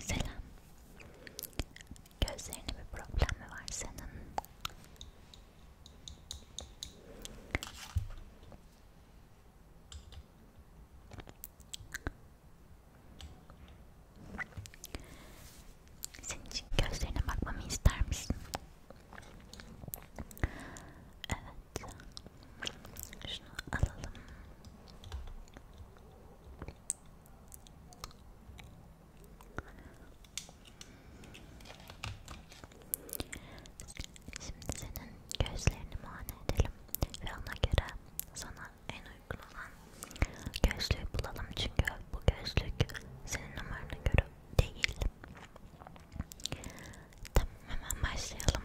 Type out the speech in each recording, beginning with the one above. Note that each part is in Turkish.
Selam. Gözlerinde bir problem mi var senin? Senin için gözlerine bakmamı ister misin? Evet. Şunu alalım. Şimdi senin gözlerini muayene edelim ve ona göre sana en uygun olan gözlüğü bulalım çünkü bu gözlük senin numarana göre değil. Tamam hemen başlayalım.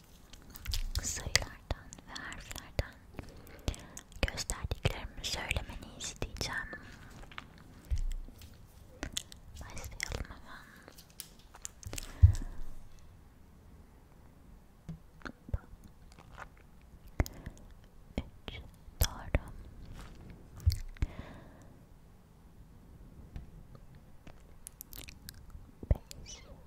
sayılardan ve harflerden gösterdiklerimi söylemeni isteyeceğim. Başlayalım hemen. Üç doğru. Beş.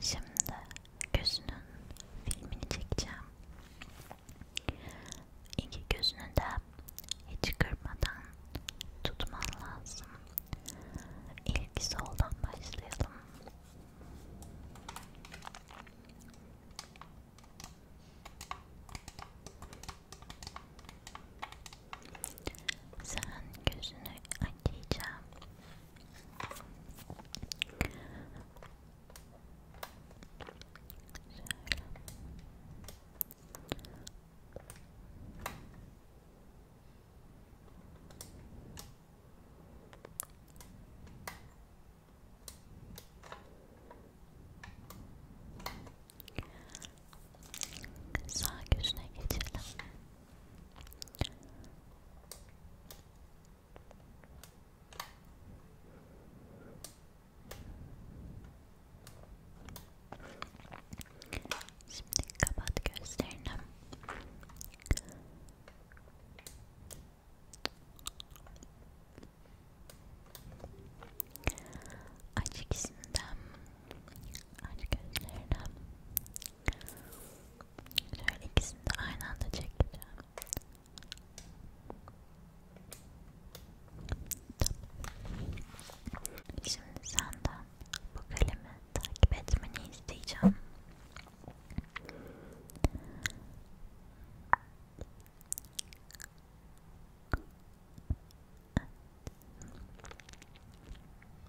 Şimdi gözünün filmini çekeceğim. İki gözünü de hiç kırmadan tutman lazım. İlk soldan başlayalım. Sen gözünü açacağım. Sağ gözüne geçelim. Şimdi kapat gözlerini. Aç ikisinden aç gözlerini. Şöyle ikisini de aynı anda çekeceğim. Şimdi senden bu kalemi takip etmeni isteyeceğim. Evet.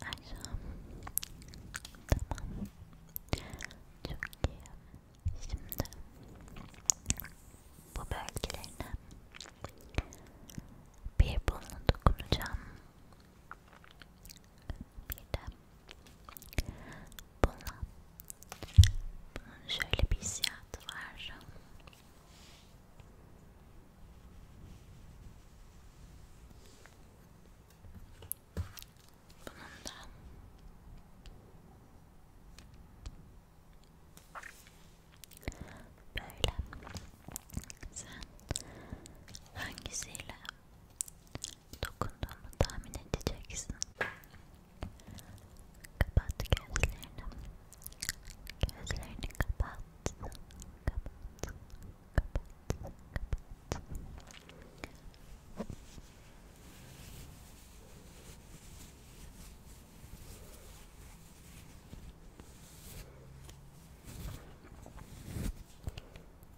Aşağı. Tamam. Çok iyi. Şimdi bu bölgelerine bir bununla dokunacağım. Bir de bununla bunun şöyle bir hissiyatı var. Bunun da böyle sen hangisiyle dokunduğumu tahmin edeceksin. Kapat gözlerini. Gözlerini kapat. Kapat. Kapat. Kapat.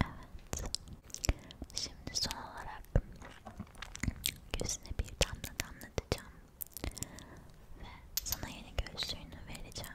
Evet. Şimdi son olarak gözüne bir damla damlatacağım ve sana yeni gözlüğünü vereceğim.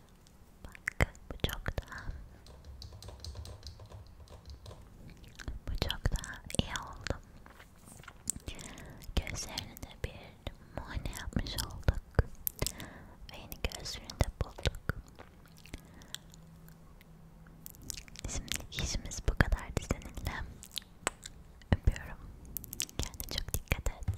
Bak bu çok daha bu çok daha iyi oldu. Gözlerine de bir muayene yapmış olduk ve yeni gözlerini de bulduk. Şimdi işimiz bu kadardı seninle. Öpüyorum. Kendine çok dikkat et.